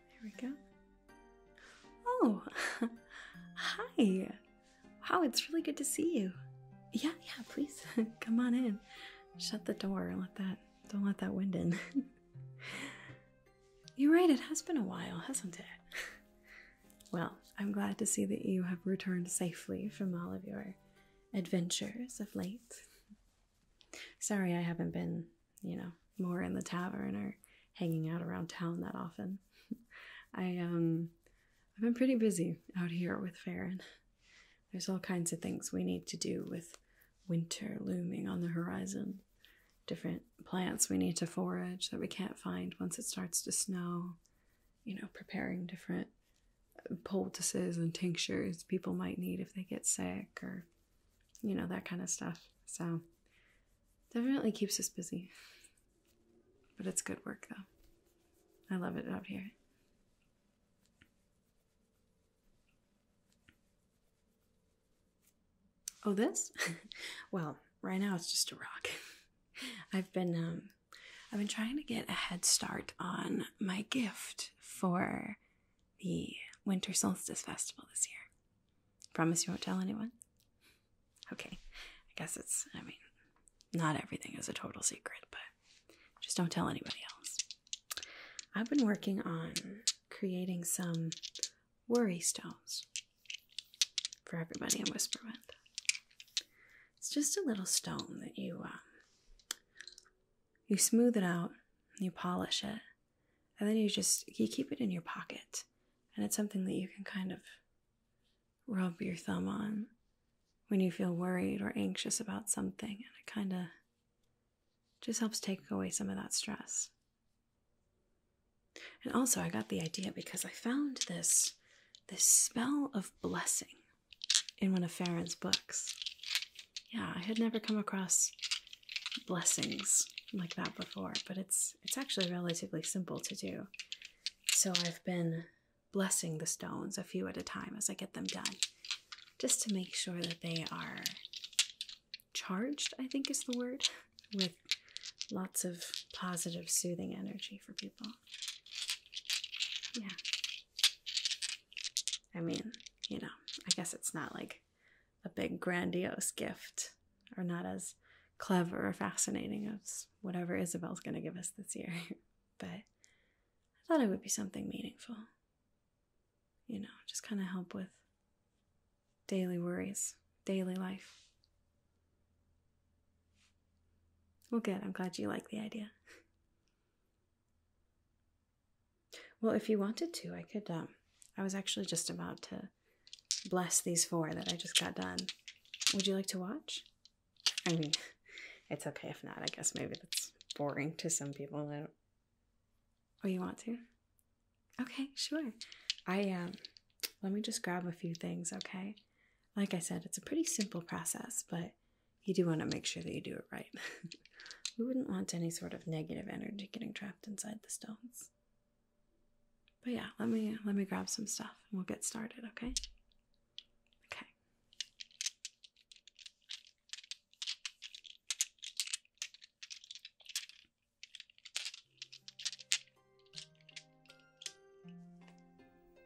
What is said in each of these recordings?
There we go. Oh, hi. Wow, it's really good to see you. Yeah, yeah, please come on in. Shut the door. Let that don't let that wind in. You're right, it has been a while, hasn't it? well, I'm glad to see that you have returned safely from all of your adventures of late. Sorry, I haven't been, you know, more in the tavern or hanging out around town that often. I um I've been pretty busy out here with Farron. There's all kinds of things we need to do with winter looming on the horizon. Different plants we need to forage that we can't find once it starts to snow. You know, preparing different poultices and tinctures people might need if they get sick or you know that kind of stuff so definitely keeps us busy but it's good work though i love it out here oh this well right now it's just a rock i've been um I've been trying to get a head start on my gift for the Winter Solstice Festival this year. Promise you won't tell anyone? Okay. I guess it's, I mean, not everything is a total secret, but just don't tell anybody else. I've been working on creating some worry stones for everybody in Whisperwind. It's just a little stone that you um, you smooth it out, you polish it, and then you just you keep it in your pocket, and it's something that you can kind of rub your thumb on when you feel worried or anxious about something, and it kind of just helps take away some of that stress. And also, I got the idea because I found this this spell of blessing in one of Farron's books. Yeah, I had never come across blessings like that before, but it's it's actually relatively simple to do. So I've been blessing the stones a few at a time as I get them done, just to make sure that they are charged, I think is the word, with lots of positive, soothing energy for people. Yeah, I mean, you know, I guess it's not like a big grandiose gift or not as clever or fascinating as whatever Isabel's going to give us this year. but I thought it would be something meaningful. You know, just kind of help with daily worries, daily life. Well, good. I'm glad you like the idea. Well, if you wanted to, I could. Um, I was actually just about to bless these four that I just got done. Would you like to watch? I mean, it's okay if not. I guess maybe that's boring to some people. I do oh, you want to? Okay, sure. I um, let me just grab a few things. Okay, like I said, it's a pretty simple process, but you do want to make sure that you do it right. we wouldn't want any sort of negative energy getting trapped inside the stones. But yeah, let me let me grab some stuff and we'll get started, okay? Okay.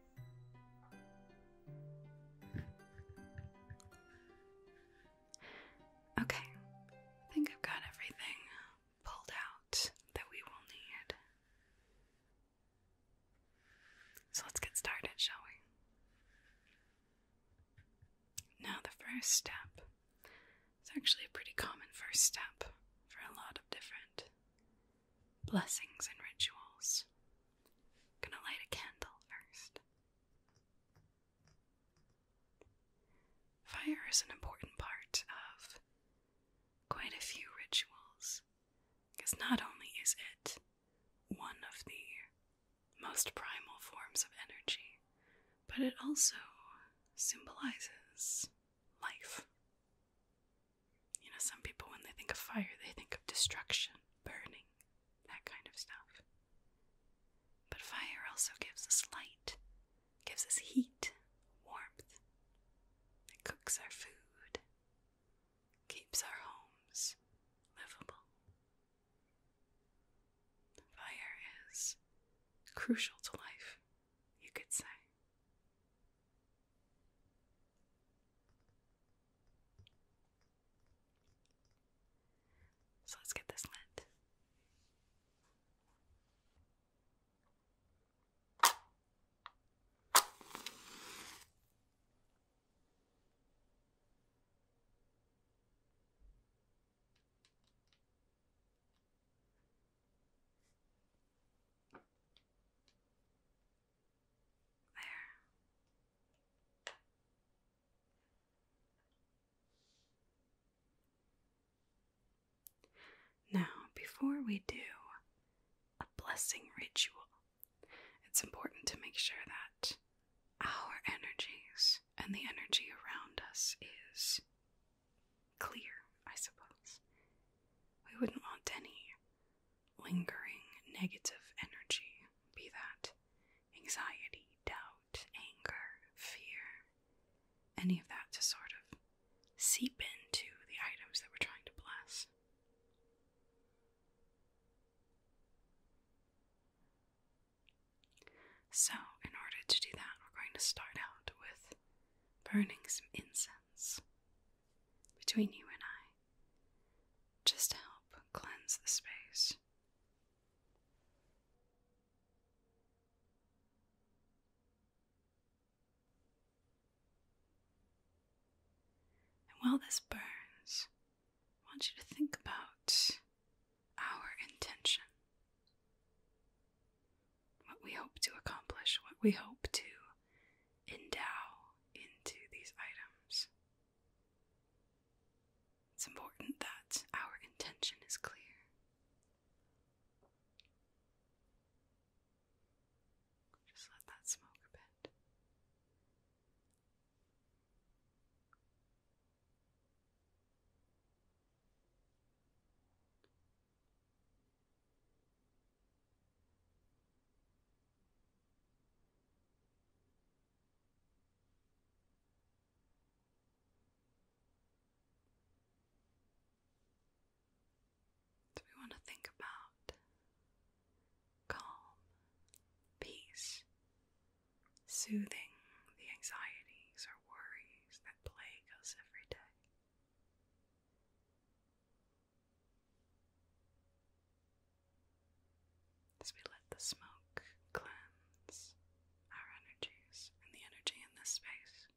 Okay, I think I've got everything pulled out that we will need. So let's get started, shall we? Now, the first step is actually a pretty common first step for a lot of different blessings and rituals. Gonna light a candle first. Fire is an important part of quite a few rituals because not only is it one of the most primal forms of energy, but it also symbolizes life. You know, some people, when they think of fire, they think of destruction, burning, that kind of stuff. But fire also gives us light, gives us heat, warmth. It cooks our food, keeps our homes livable. Fire is crucial to life, you could say. So let's get this lit. There. Now, before we do a blessing ritual, it's important to make sure that our energies and the energy around us is clear, I suppose. We wouldn't want any lingering negative energy, be that anxiety, doubt, anger, fear, any of that to sort of seep into the items that we're trying to bless. So, in order to do that, we're going to start out with burning some incense between you and I just to help cleanse the space. And while this burns, I want you to think about our intention. What we hope to accomplish, what we hope to endow into these items. It's important that our intention is clear. Just let that smoke a bit. So we want to think about calm, peace, soothing the anxieties or worries that plague us every day. As we let the smoke cleanse our energies and the energy in this space.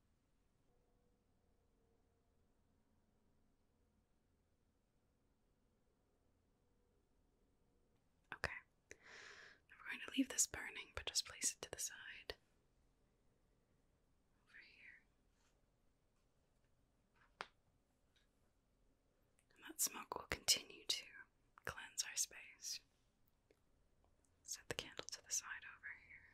Okay. we're going to leave this burning, but just place it to the side. Over here that smoke will continue to cleanse our space. Set the candle to the side over here.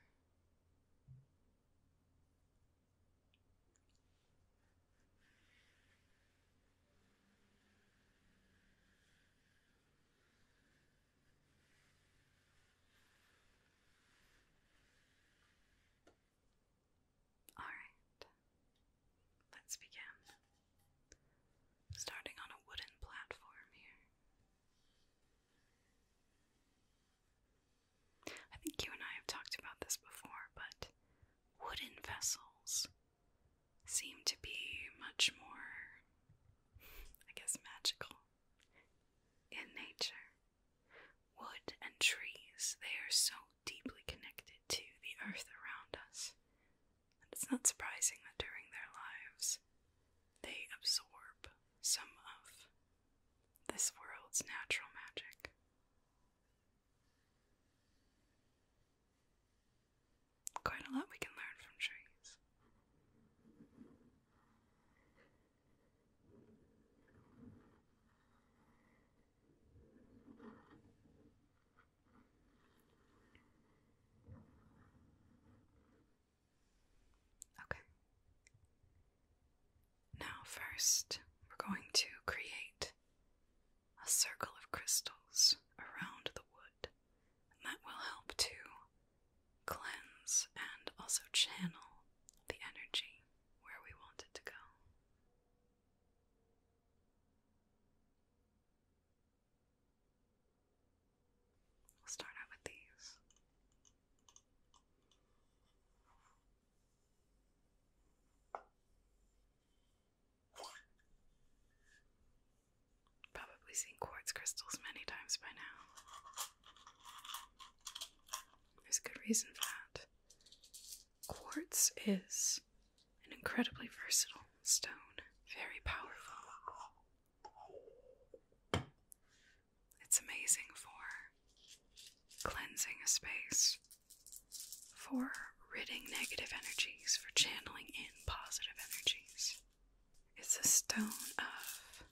All right. Let's begin. Starting on a wooden platform here. I think you and I have talked about this before, but wooden vessels seem to be much more, I guess, magical in nature. Wood and trees, they are so deeply connected to the earth around us, and it's not surprising that during their lives they absorb some of this world's natural magic. Quite a lot we can learn from trees. Okay. Now, first, we're going to create a circle of crystals around the wood, and that will help to cleanse and also channel the energy where we want it to go. We'll start out with these. Probably seen quartz crystals many times by now. There's a good reason for that. Quartz is an incredibly versatile stone, very powerful. It's amazing for cleansing a space, for ridding negative energies, for channeling in positive energies. It's a stone of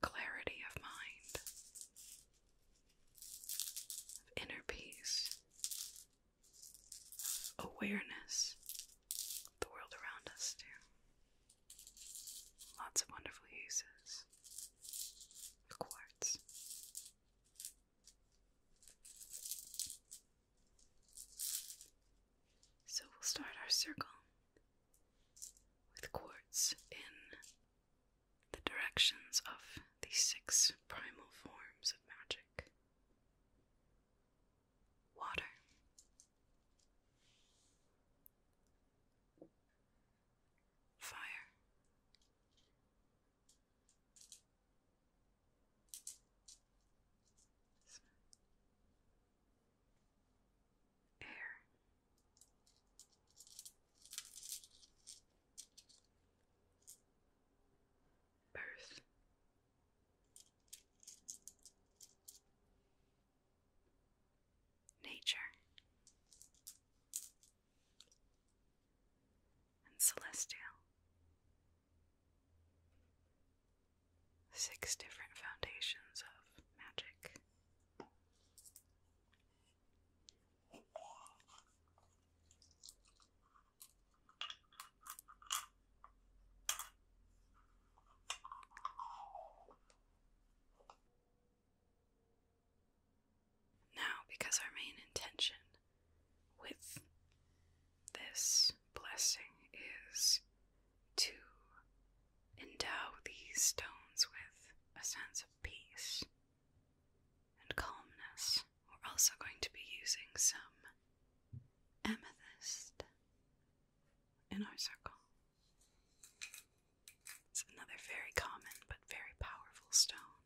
clarity of mind, of inner peace, awareness the world around us, too. Lots of wonderful uses of quartz. So we'll start our circle with quartz in the directions of the six primal forms of magic water. Fire. Air. Birth. Nature and Celestial. Six different foundations of magic. Now, because our main intention with this blessing is to endow these stones with a sense of peace and calmness, we're also going to be using some amethyst in our circle. It's another very common but very powerful stone.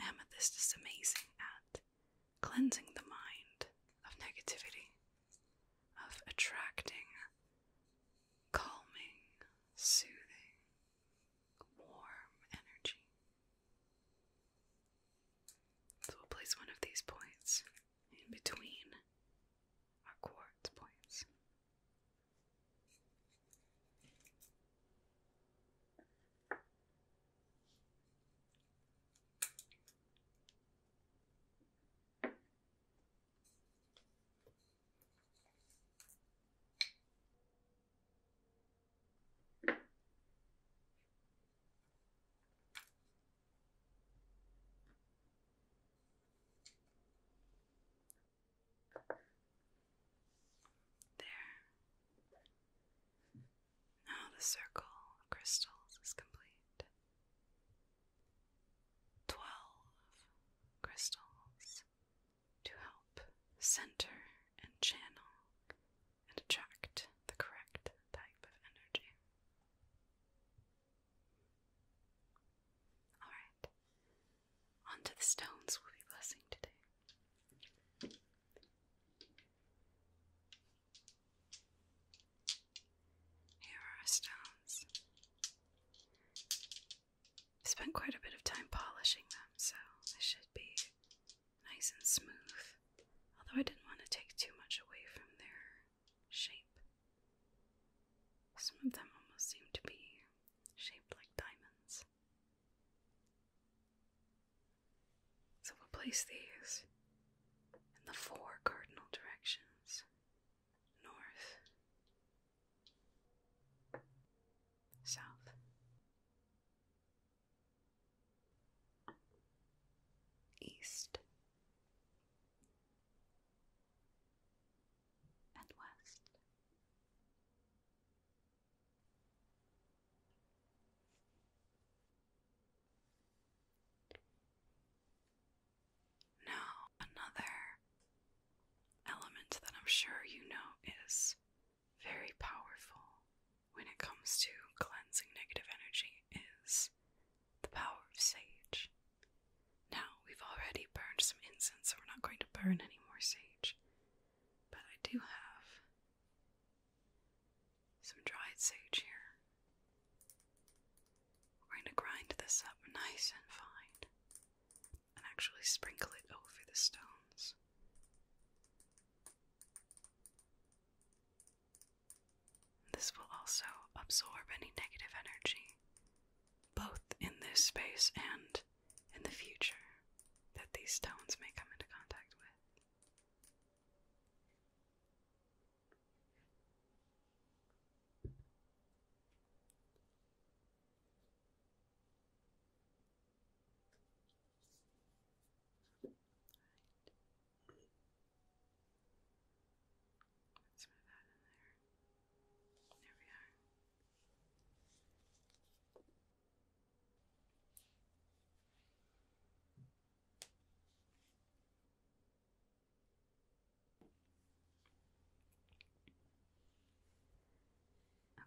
Amethyst is amazing at cleansing the mind of negativity, of attracting, calming, soothing, warm energy. So we'll place one of these points in between our quartz points. There. Now the circle of crystals is complete. Twelve crystals to help center and channel and attract the correct type of energy. Alright, on to the stones we'll be blessing today. Here are stones. I spent quite a bit of time polishing them, so they should be nice and smooth, although I didn't want to take too much away from their shape. Some of them almost seem to be shaped like diamonds. So we'll place these in the four cardinal directions north, south, east and west. Now, another element that I'm sure you know is very powerful when it comes to cleansing negative energy is the power of sage. Now, we've already burned some incense, so we're not going to burn any more sage. But I do have some dried sage here. We're going to grind this up nice and fine and actually sprinkle it over the stones. This will also absorb any negative energy, both in this space and in the future, that these stones may come into contact with. Right. Let's that in there. There we are.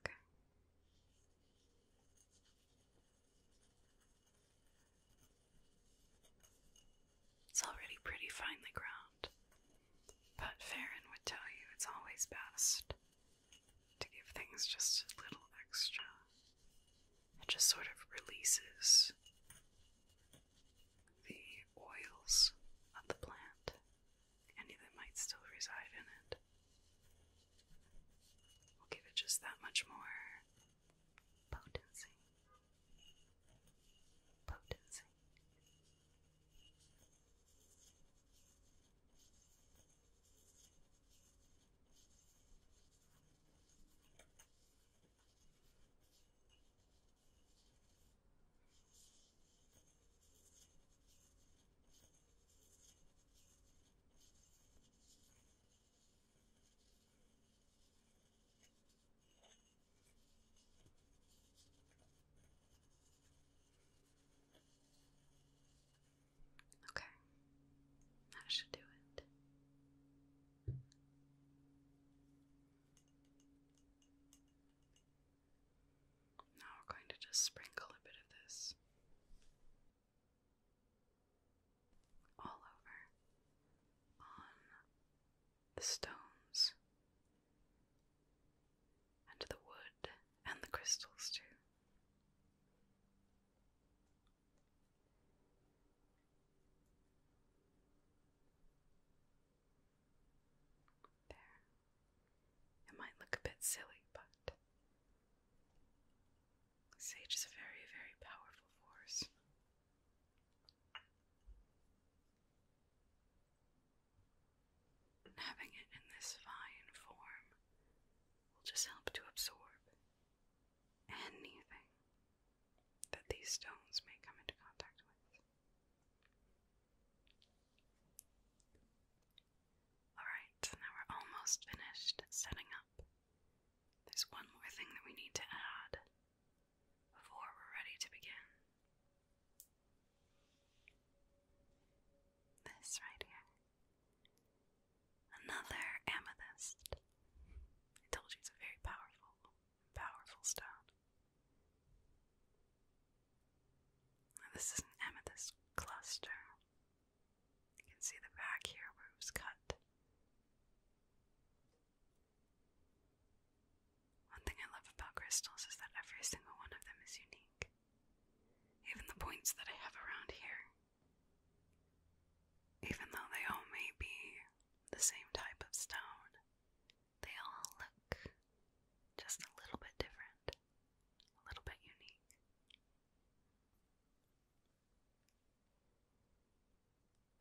Okay. It's already pretty finely ground, but Farron would tell you it's always best to give things just a little extra. It just sort of releases the oils of the plant, any that might still reside in it. We'll give it just that much more potency, potency. Potency. Okay, that should do it. Now we're going to just sprinkle a bit of this all over on the stones and the wood and the crystals too. There. It might look a bit silly, but Sage is a very, very powerful force. having it in this fine form will just help to absorb anything that these stones may come into contact with. Alright, now we're almost finished setting up there's one more thing that we need to add before we're ready to begin. This right here. Another amethyst. I told you it's a very powerful, powerful stone. this is an amethyst cluster. You can see the back here where it was cut. One thing I love about crystals is that every single one of them is unique. Even the points that I have around here. Even though they all may be the same type of stone, they all look just a little bit different, a little bit unique.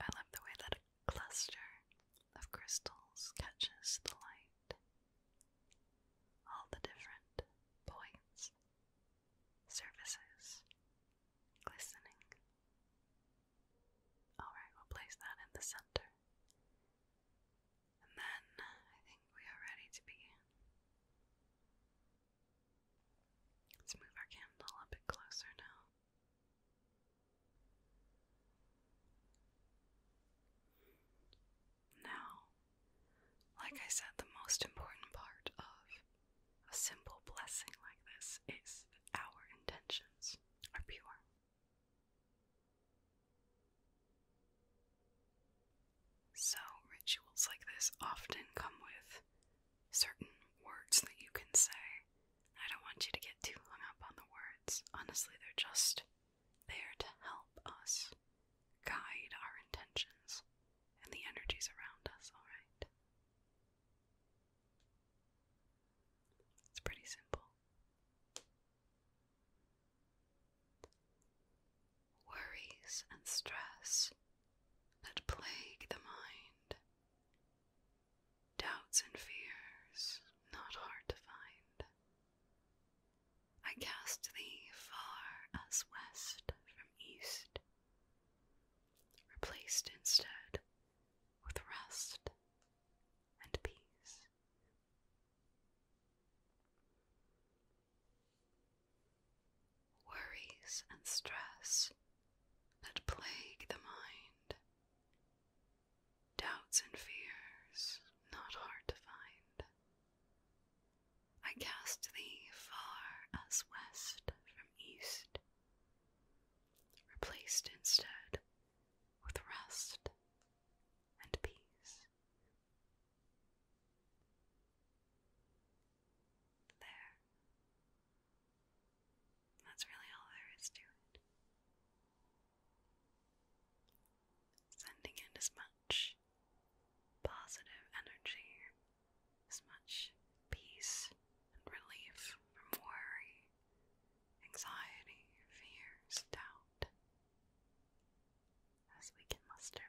I love the way that a cluster of crystals catches the light. All the different points, surfaces, glistening. Alright, we'll place that in the center. And then I think we are ready to begin. Let's move our candle a bit closer now. Now, like I said, the most important part of a simple blessing like this is our intentions are pure. So, rituals like this often come with certain words that you can say. I don't want you to get too hung up on the words. Honestly, they're just there to help us guide our intentions and the energies around us, alright? It's pretty simple. Worries and stress that plague the mind Doubts and fears, not hard to find. I cast thee far as west from east, replaced instead with rest and peace worries, and stress that plague the mind. Doubts and fears, not hard to find. I cast thee far as west from east, replaced instead with rest and peace. There. That's really all there is to it. Sending in as much positive energy, as much peace and relief from worry, anxiety, fears, doubt as we can muster.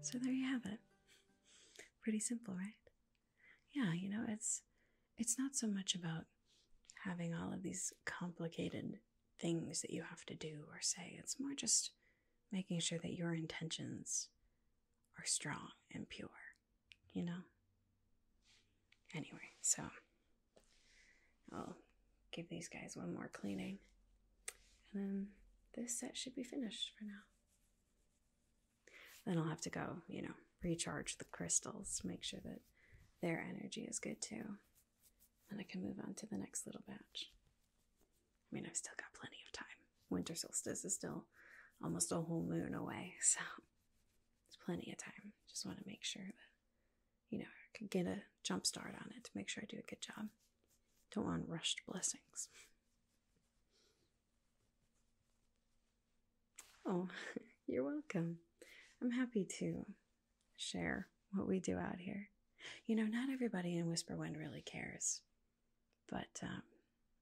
So there you have it. Pretty simple, right? Yeah, you know, it's it's not so much about having all of these complicated things that you have to do or say. It's more just making sure that your intentions are strong and pure, you know? Anyway, so I'll give these guys one more cleaning. And then this set should be finished for now. Then I'll have to go, you know, recharge the crystals, make sure that their energy is good too. And I can move on to the next little batch. I mean, I've still got plenty of time. Winter solstice is still almost a whole moon away, so it's plenty of time. Just want to make sure that you know, I could get a jump start on it to make sure I do a good job. Don't want rushed blessings. Oh, you're welcome. I'm happy to share what we do out here. You know, not everybody in Whisper Wind really cares, but um,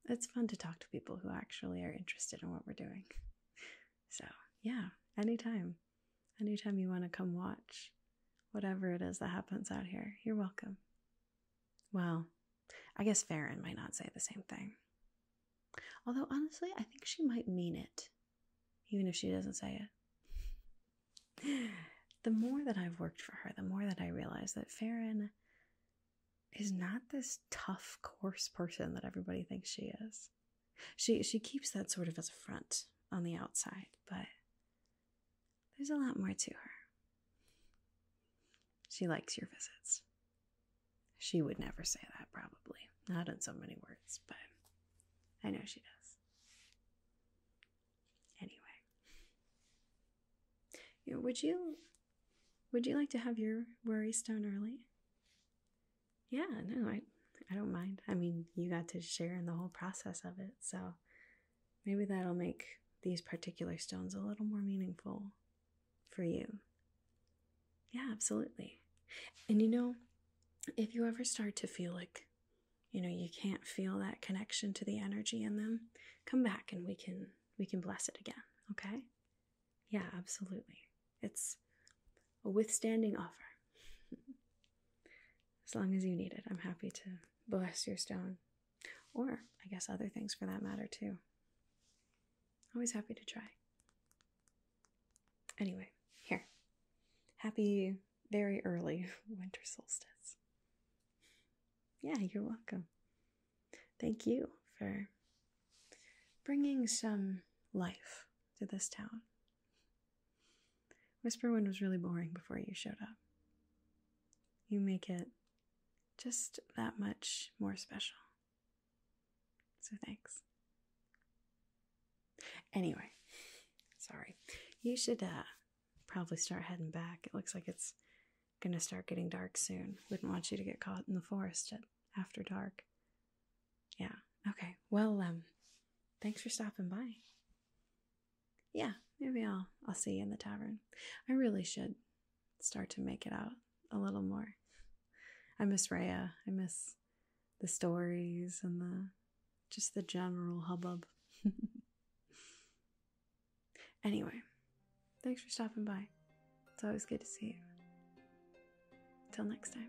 it's fun to talk to people who actually are interested in what we're doing. So, yeah, anytime. Anytime you want to come watch whatever it is that happens out here, you're welcome. Well, I guess Farron might not say the same thing. Although, honestly, I think she might mean it, even if she doesn't say it. The more that I've worked for her, the more that I realize that Farron is not this tough, coarse person that everybody thinks she is. She she keeps that sort of as a front on the outside, but there's a lot more to her. She likes your visits. She would never say that, probably. Not in so many words, but I know she does. Anyway. would you would you like to have your worry stone early? Yeah, no, I I don't mind. I mean, you got to share in the whole process of it, so maybe that'll make these particular stones a little more meaningful for you. Yeah, absolutely. And you know, if you ever start to feel like you know you can't feel that connection to the energy in them, come back and we can we can bless it again, okay? Yeah, absolutely. It's a withstanding offer. As long as you need it, I'm happy to bless your stone. Or, I guess, other things for that matter, too. Always happy to try. Anyway, here. Happy very early winter solstice. Yeah, you're welcome. Thank you for bringing some life to this town Whisperwind was really boring before you showed up. You make it just that much more special. So thanks. Anyway, sorry. You should uh, probably start heading back. It looks like it's going to start getting dark soon. Wouldn't want you to get caught in the forest after dark. Yeah. Okay. Well, um, thanks for stopping by yeah, maybe I'll I'll see you in the tavern. I really should start to make it out a little more. I miss Raya. I miss the stories and the just the general hubbub. anyway, thanks for stopping by. It's always good to see you. Till next time.